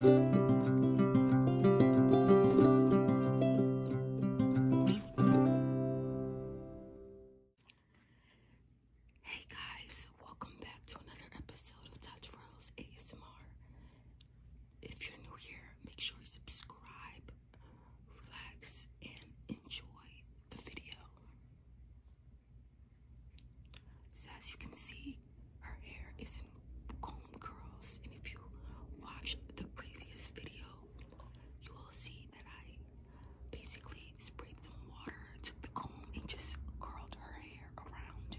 Hey guys, welcome back to another episode of Touch ASMR. If you're new here, make sure you subscribe, relax, and enjoy the video. So as you can see, her hair is in comb curls. And if you watch the previous video, you will see that I basically sprayed some water, took the comb, and just curled her hair around.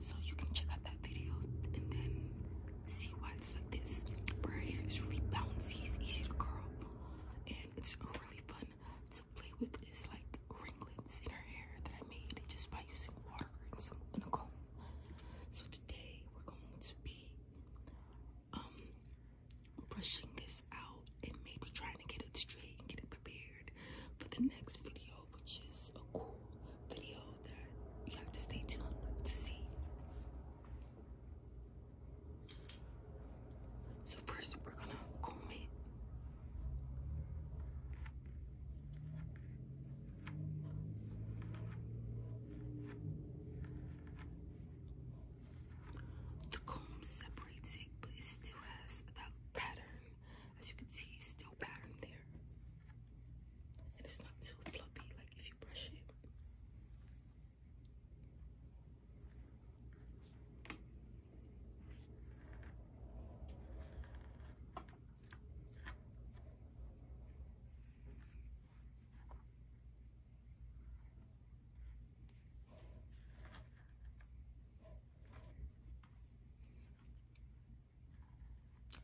So you can check out that video and then see why it's like this. her hair is really bouncy, it's easy to curl, and it's really fun to play with. It's like ringlets in her hair that I made just by using water and some and So today we're going to be um, brushing this out and maybe trying to get it straight and get it prepared for the next video, which is a cool video that you have to stay tuned to see. So first we're gonna comb it. The comb separates it, but it still has that pattern. As you can see, it's still patterned there. And it's not too fluffy like if you brush it.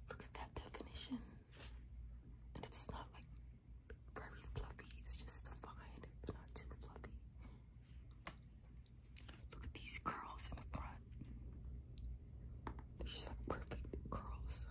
Look at that definition. And it's not like very fluffy, it's just defined, but not too fluffy. Look at these curls in the front. They're just like perfect curls.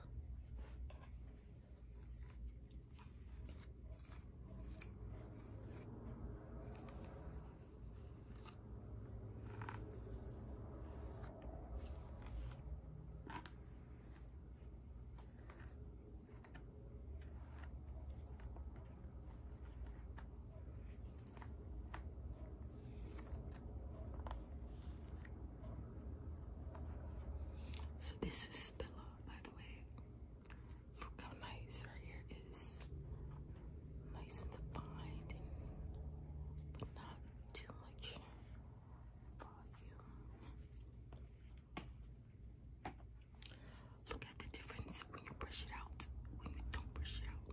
So this is Stella, by the way. Look how nice her hair is. Nice and defined, but not too much volume. Look at the difference when you brush it out, when you don't brush it out.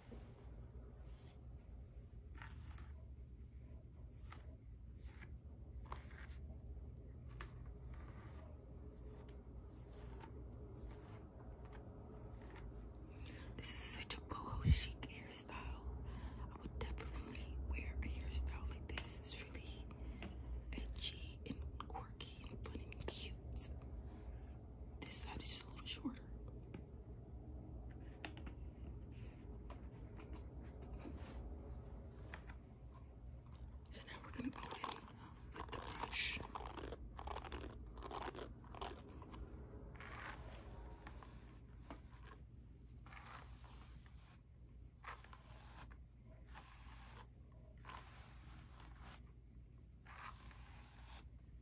This is such a boho chic hairstyle. I would definitely wear a hairstyle like this. It's really edgy and quirky and fun and cute. This side is just a little shorter. So now we're going to go in with the brush.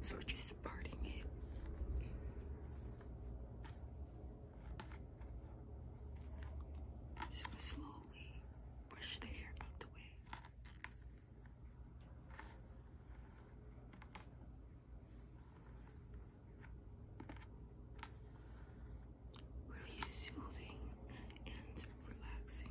So just parting it. Just gonna slowly brush the hair out the way really soothing and relaxing.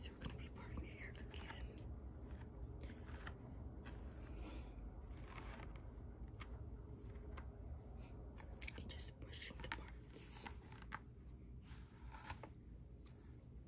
So we're going to be parting here again. And just pushing the parts.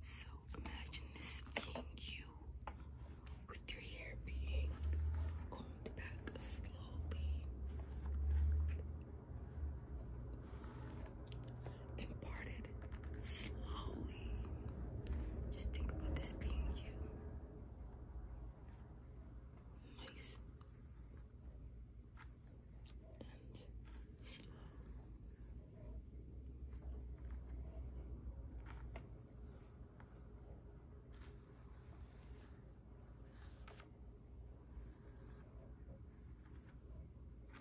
So imagine this being you with your hair being combed back slowly and parted slowly. Just think about this being you. Nice and slow.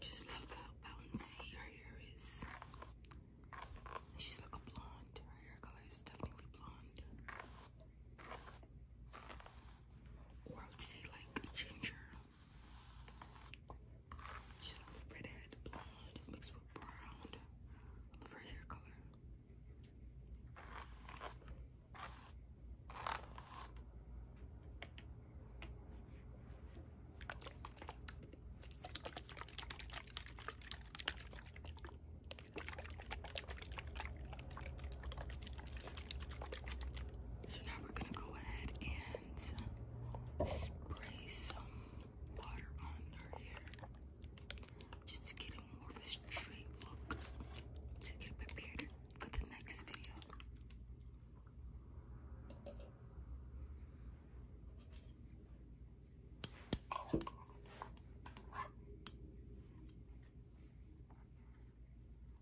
Just love how bouncy her hair is. She's like a blonde. Her hair color is definitely blonde. Or I would say like ginger. She's like a redhead blonde mixed with brown. love her hair color. So now we're gonna go ahead and spray some water on her hair just get a more of a straight look to get prepared for the next video.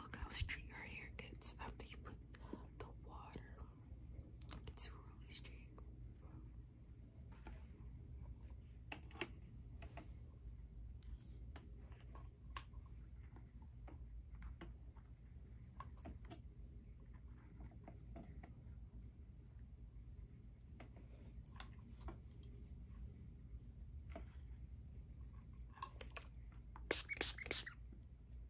Look how straight her hair gets after you put the water it's really straight.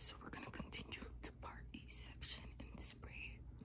So we're going to continue to part A section and spray it.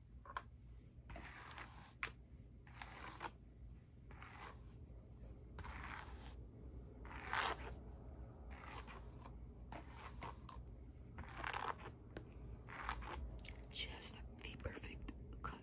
She has like the perfect cut.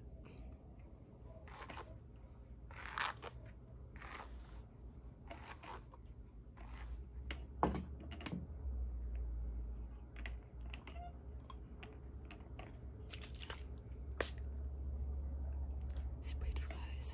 Spread you guys.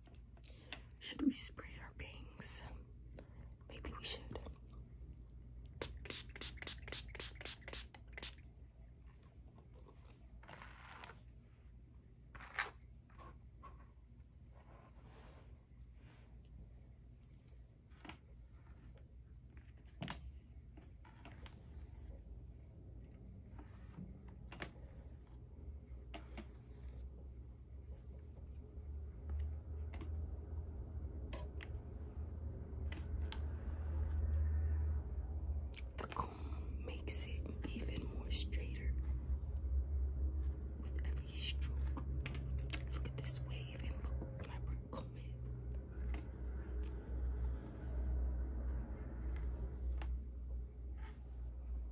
Should we spray our bangs? Maybe we should. The comb makes it even more straighter with every stroke. Look at this wave and look when I comb it.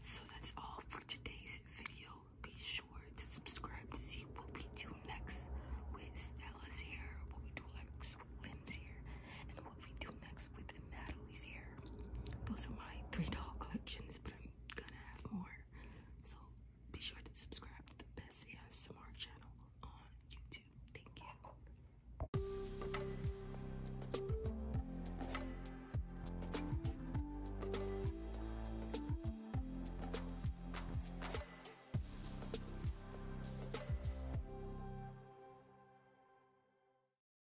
So that's all for today's video. Be sure to subscribe to see what we do next with Stella's hair, what we do next with Lynn's hair, and we do next with Natalie's hair. Those are my three doll collections, but I'm gonna have more. So be sure to subscribe to the best ASMR channel on YouTube. Thank you.